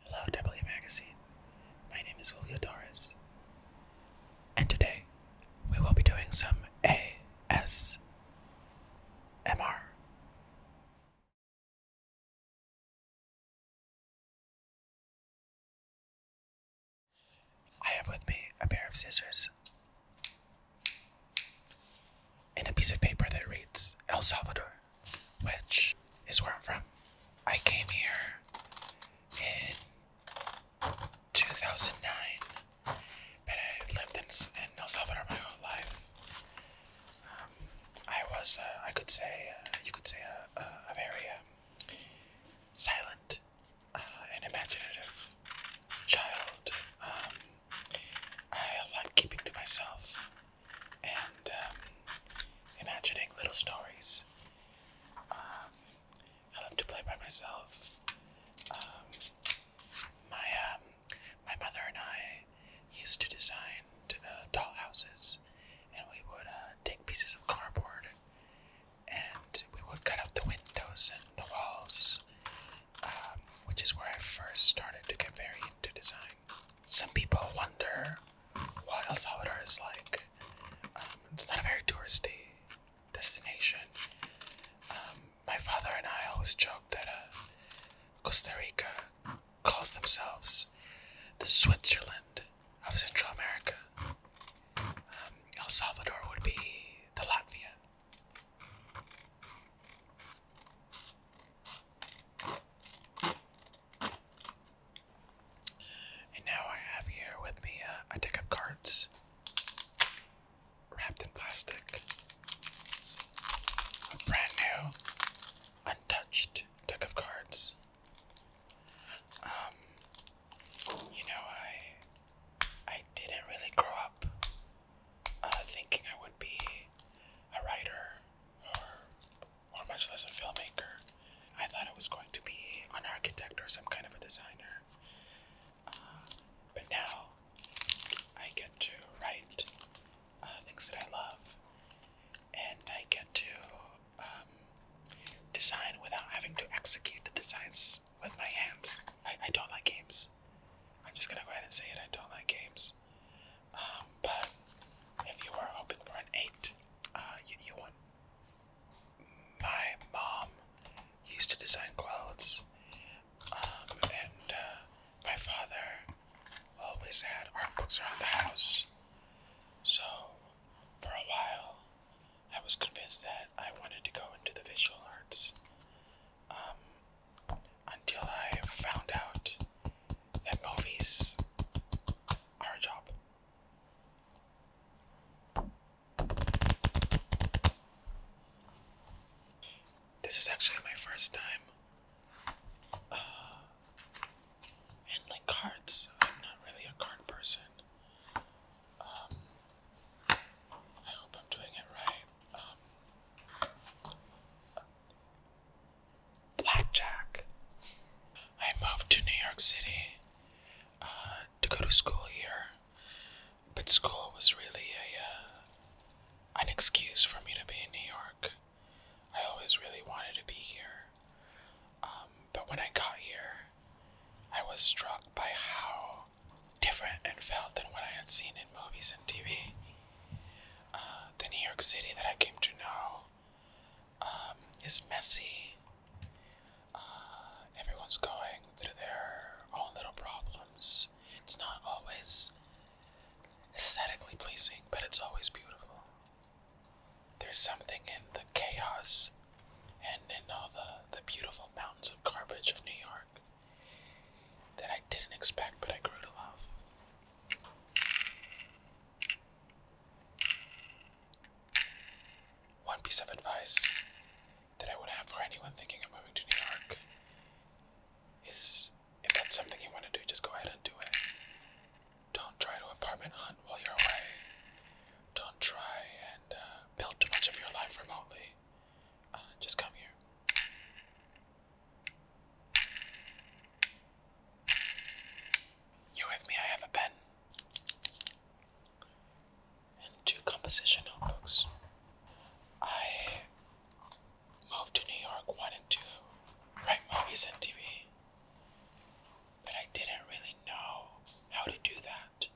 Hello, W Magazine. My name is Julio Torres, and today we will be doing some ASMR. I have with me a pair of scissors and a piece of paper that reads El Salvador which is where I'm from. I came here in 2009, but I lived in, in El Salvador my whole life. Um, I was, uh, I could say, uh, you could say, a, a, very um, silent uh, and imaginative child. Um, I like keeping to myself and um, imagining little stories. Um, I love to play by myself. Um, my um, my mother and I used to design uh, doll houses, and we would uh, take pieces of cardboard, and we would cut out the windows and the walls, um, which is where I first started to get very into design. Some people wonder what El Salvador is like. Um, it's not a very touristy destination. Um, my father and I always joke that uh, Costa Rica calls themselves the Switzerland of Central America. Um, El Salvador would be the Latvia. And now I have here with me uh, a deck of cards wrapped in plastic. A brand new, untouched deck of cards. Um, you know, I I didn't really grow up uh, thinking I would be a writer or much less a filmmaker. I thought it was going to be an architect or some kind of a designer. Uh, but now I get to write uh, things that I love, and I get to um, design without having to execute the designs with my hands. I, I don't like games. I'm just gonna go ahead and say it. I don't like games. Um, but if you were hoping for an eight, uh, you, you won. My mom used to design clothes, um, and uh, my father always had art books around the house. So, for a while, I was convinced that I wanted to go into the visual arts. Um, until I found out that movies are a job. This is actually my first time uh, handling cards. I'm not really a card person. Um, I hope I'm doing it right. Um, blackjack. I moved to New York City uh, to go to school here, but school was really a uh, an excuse for me to be in New York. I always really wanted to be here, um, but when I got here, I was struck by how different it felt than what I had seen in movies and TV. Uh, the New York City that I came to know um, it's messy. Uh, everyone's going through their own little problems. It's not always aesthetically pleasing, but it's always beautiful. There's something in the chaos and in all the, the beautiful mountains of garbage of New York that I didn't expect, but I grew to love. One piece of advice that I would have for anyone thinking of moving to New York is if that's something you want to do, just go ahead and do it. Don't try to apartment hunt while you're away. Don't try and uh, build too much of your life remotely. Uh, just come here. You with me? I have a pen and two composition notebooks. I moved to New York wanting to write movies and TV, but I didn't really know how to do that.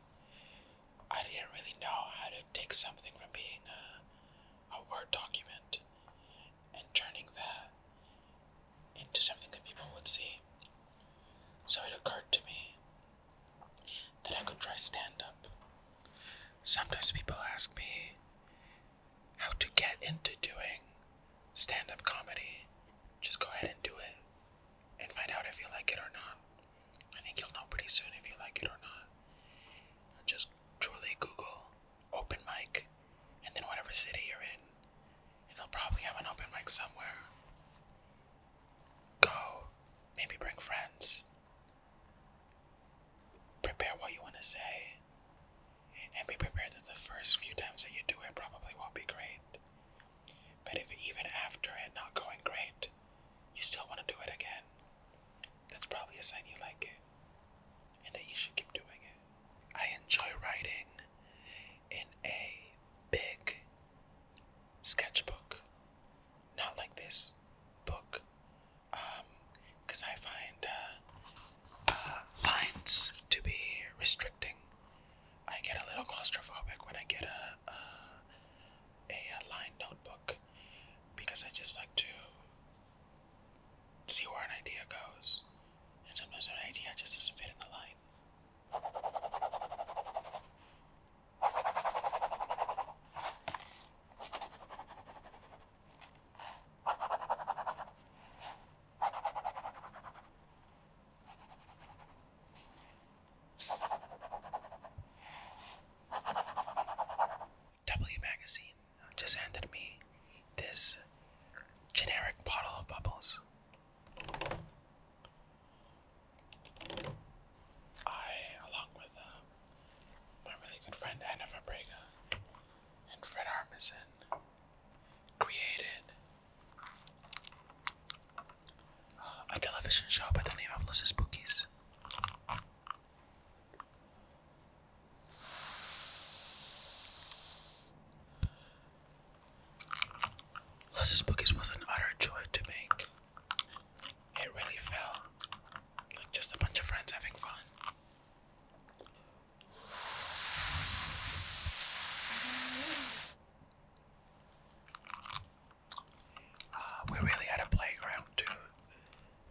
I didn't really know how to take something from being a, a Word document and turning that into something that people would see. So it occurred to me that I could try stand up. Sometimes people ask me how to get into doing stand up comedy. Just go ahead and do it and find out if you like it or not. I think you'll know pretty soon if you like it or not. Just truly Google open mic, and then whatever city you're in, they'll probably have an open mic somewhere. Go, maybe bring friends. Prepare what you want to say, and be prepared that the first few times that you do it probably won't be great. But if even after it not going great, you still want to do it again, that's probably a sign you like it and that you should keep doing it. I enjoy writing in a big sketchbook. Not like this book, because um, I find uh, uh, lines to be restricting. I get a little claustrophobic when I get a, a, a, a line notebook because I just like to see where an idea goes and sometimes an idea just doesn't fit in the line. W Magazine just handed me this generic bottle of bubbles. I, along with uh, my really good friend Anna Fabrega and Fred Armisen, created uh, a television show by the name of Lucy Spookies. Luzz's Bookies was an utter joy to make. It really felt like just a bunch of friends having fun. Uh, we really had a playground to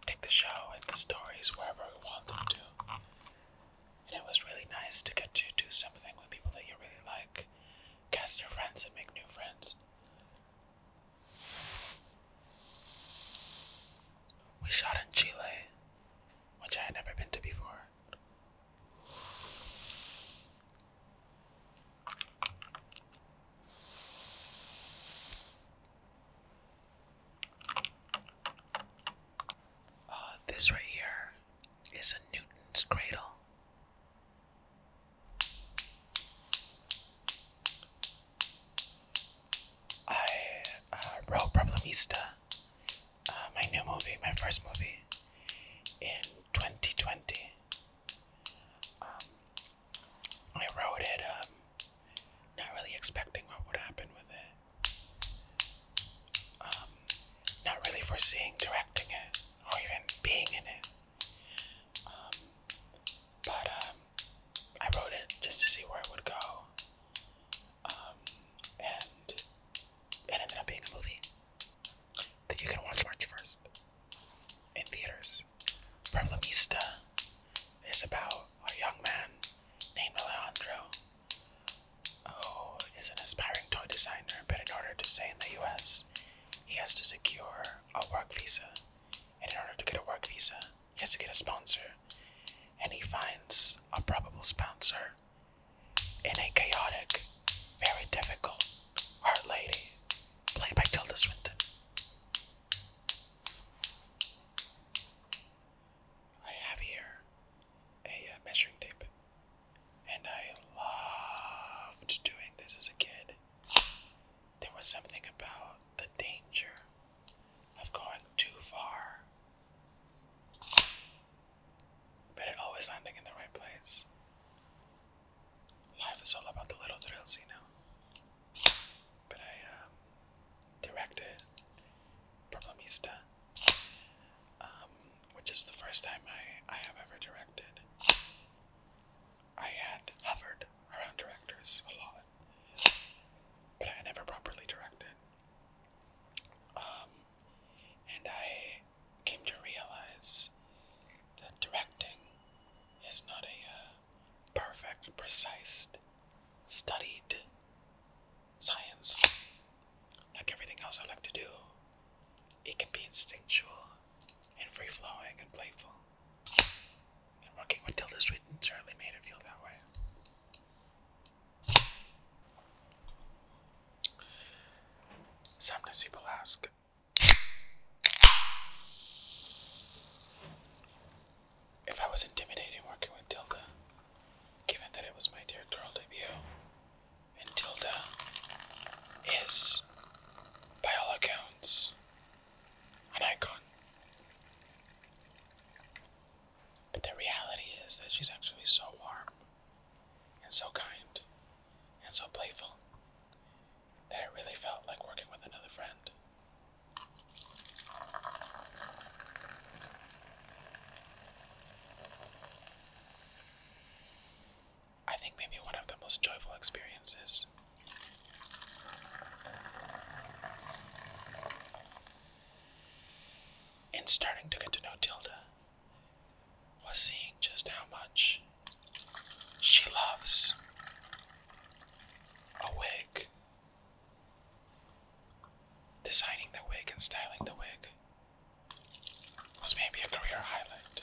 take the show and the stories wherever we want them to and it was really nice to get to do something with people that you really like, cast your friends, and make new friends. We shot in Chile, which I had never been to before. Uh, this right here is a Newton's cradle. I uh, wrote Problemista, uh, my new movie, my first movie, in 2020. Um, I wrote it, um, not really expecting what would happen with it. Um, not really foreseeing directing it or even being in it. Um, but um, I wrote it just to see where it would go. and it ended up being a movie that you can watch March 1st in theaters. Problemista is about a young man named Alejandro who oh, is an aspiring toy designer, but in order to stay in the US, he has to secure a work visa. And in order to get a work visa, he has to get a sponsor. And he finds a probable sponsor in a chaotic, very difficult art lady played by Tilda Swinton. I have here a uh, measuring tape, and I loved doing this as a kid. There was something about the danger of going too far, but it always landing in the right place. Life is all about the little thrills, you know. But I um, directed Problemista um, which is the first time I, I have ever directed. I had hovered around directors a lot, but I never properly directed. Um, and I came to realize that directing is not a uh, perfect, precise, studied science. Like everything else I like to do, it can be instinctual and free flowing and playful. And working with Tilda Swinton certainly made it feel that way. Sometimes people ask, if I was intimidating working with Tilda, given that it was my directorial debut. And Tilda is, by all accounts, an icon. But the reality is that she's actually so warm, and so kind, and so playful, that it really felt like working with another friend. I think maybe one of the most joyful experiences. In starting to get to know Tilda, was seeing just how much she loves a wig. Designing the wig and styling the wig was maybe a career highlight.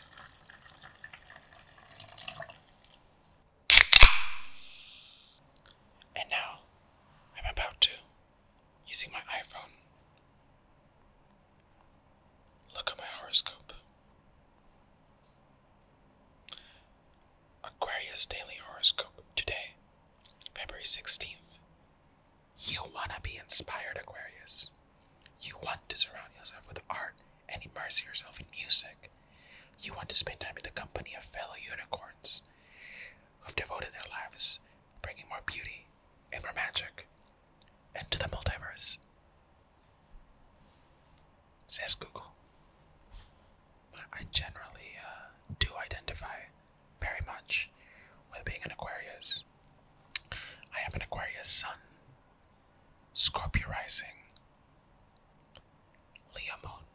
And now I'm about to, using my iPhone, look at my horoscope. Aquarius Daily Horoscope today, February 16th, you want to be inspired, Aquarius. You want to surround yourself with art and immerse yourself in music. You want to spend time in the company of fellow unicorns who have devoted their lives bringing more beauty and more magic into the multiverse. Says Google. I generally uh, do identify very much with being an Aquarius. I have an Aquarius sun, Scorpio rising, Leo moon,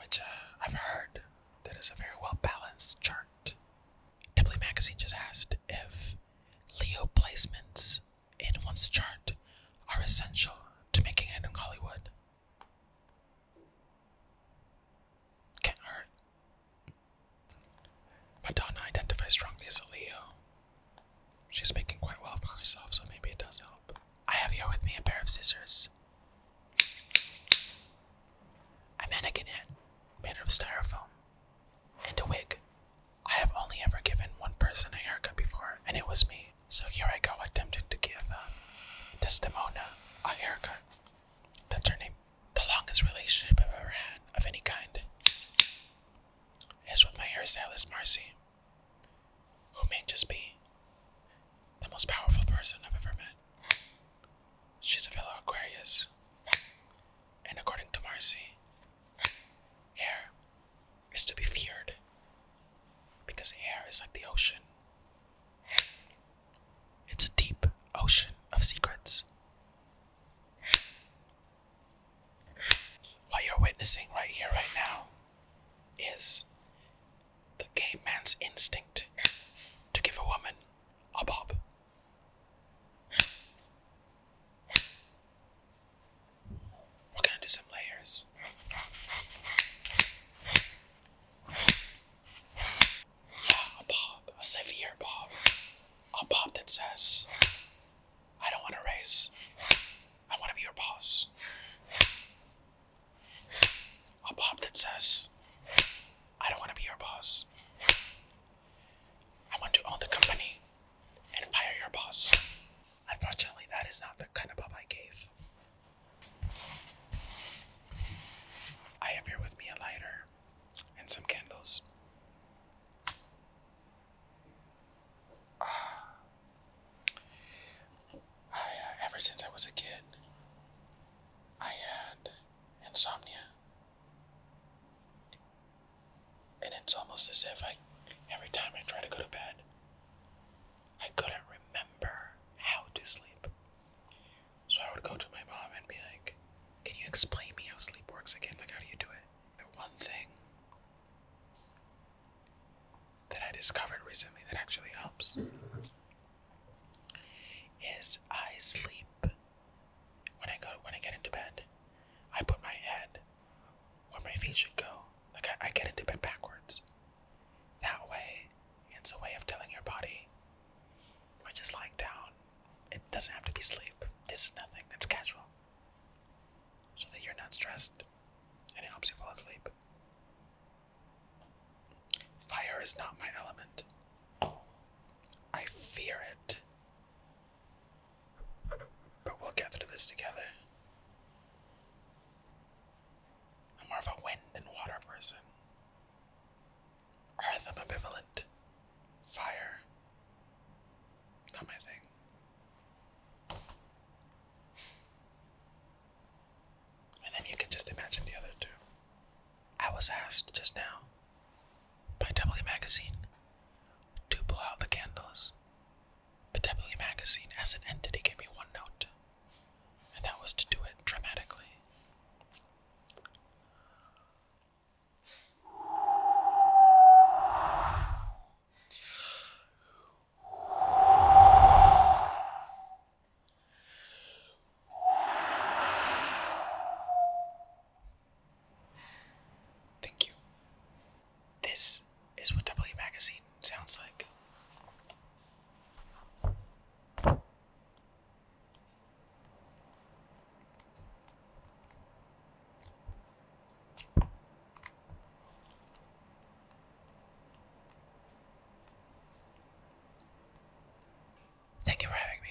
which uh, I've heard that is a very well balanced chart. Deeply Magazine just asked if Leo placements in one's chart are essential to making it in Hollywood. Can't hurt. Madonna identifies strongly as a Leo. She's making quite well for herself, so maybe it does help. I have here with me a pair of scissors. A mannequin head made of styrofoam. And a wig. I have only ever given one person a haircut before, and it was me. So here I go attempting to give um, Desdemona a haircut. That's her name. The longest relationship I've ever had of any kind is with my hairstylist Marcy, who may just be the most powerful person I've ever met. She's a fellow Aquarius, and according to Marcy, hair is to be feared because hair is like the ocean. It's a deep ocean of secrets. What you're witnessing right here, right now, is the gay man's instinct to give a woman a bob. We're gonna do some layers. Yeah, a pop. A severe pop. A pop that says, I don't want to raise. I want to be your boss. A pop that says, I don't want to be your boss. I want to own the company and fire your boss. Unfortunately, that is not the kind of pop I gave. I have here with me a lighter and some candles. Ah. I, uh, ever since I was a kid, I had insomnia. And it's almost as if I, every time I try to go to bed, I couldn't remember how to sleep. So I would go to my mom and be like, Can you explain me how sleep works again? Like, how do you do it? The one thing that I discovered recently that actually helps is I sleep when I go when I get into bed. I put my head where my feet should go. Like I, I get into bed backwards that way. It's a way of telling your body, "I'm just lying down. It doesn't have to be sleep. This is nothing. It's casual. So that you're not stressed and it helps you fall asleep. Fire is not my element. I fear it. But we'll get through this together. I'm more of a wind and water person. Earth, i Fire. Not my thing. And then you can just imagine the other two. I was asked just now by W Magazine to blow out the candles. But W Magazine, as an entity, gave me one note and that was to do it dramatically. Thank you. This is what W Magazine sounds like. Thank you for having me.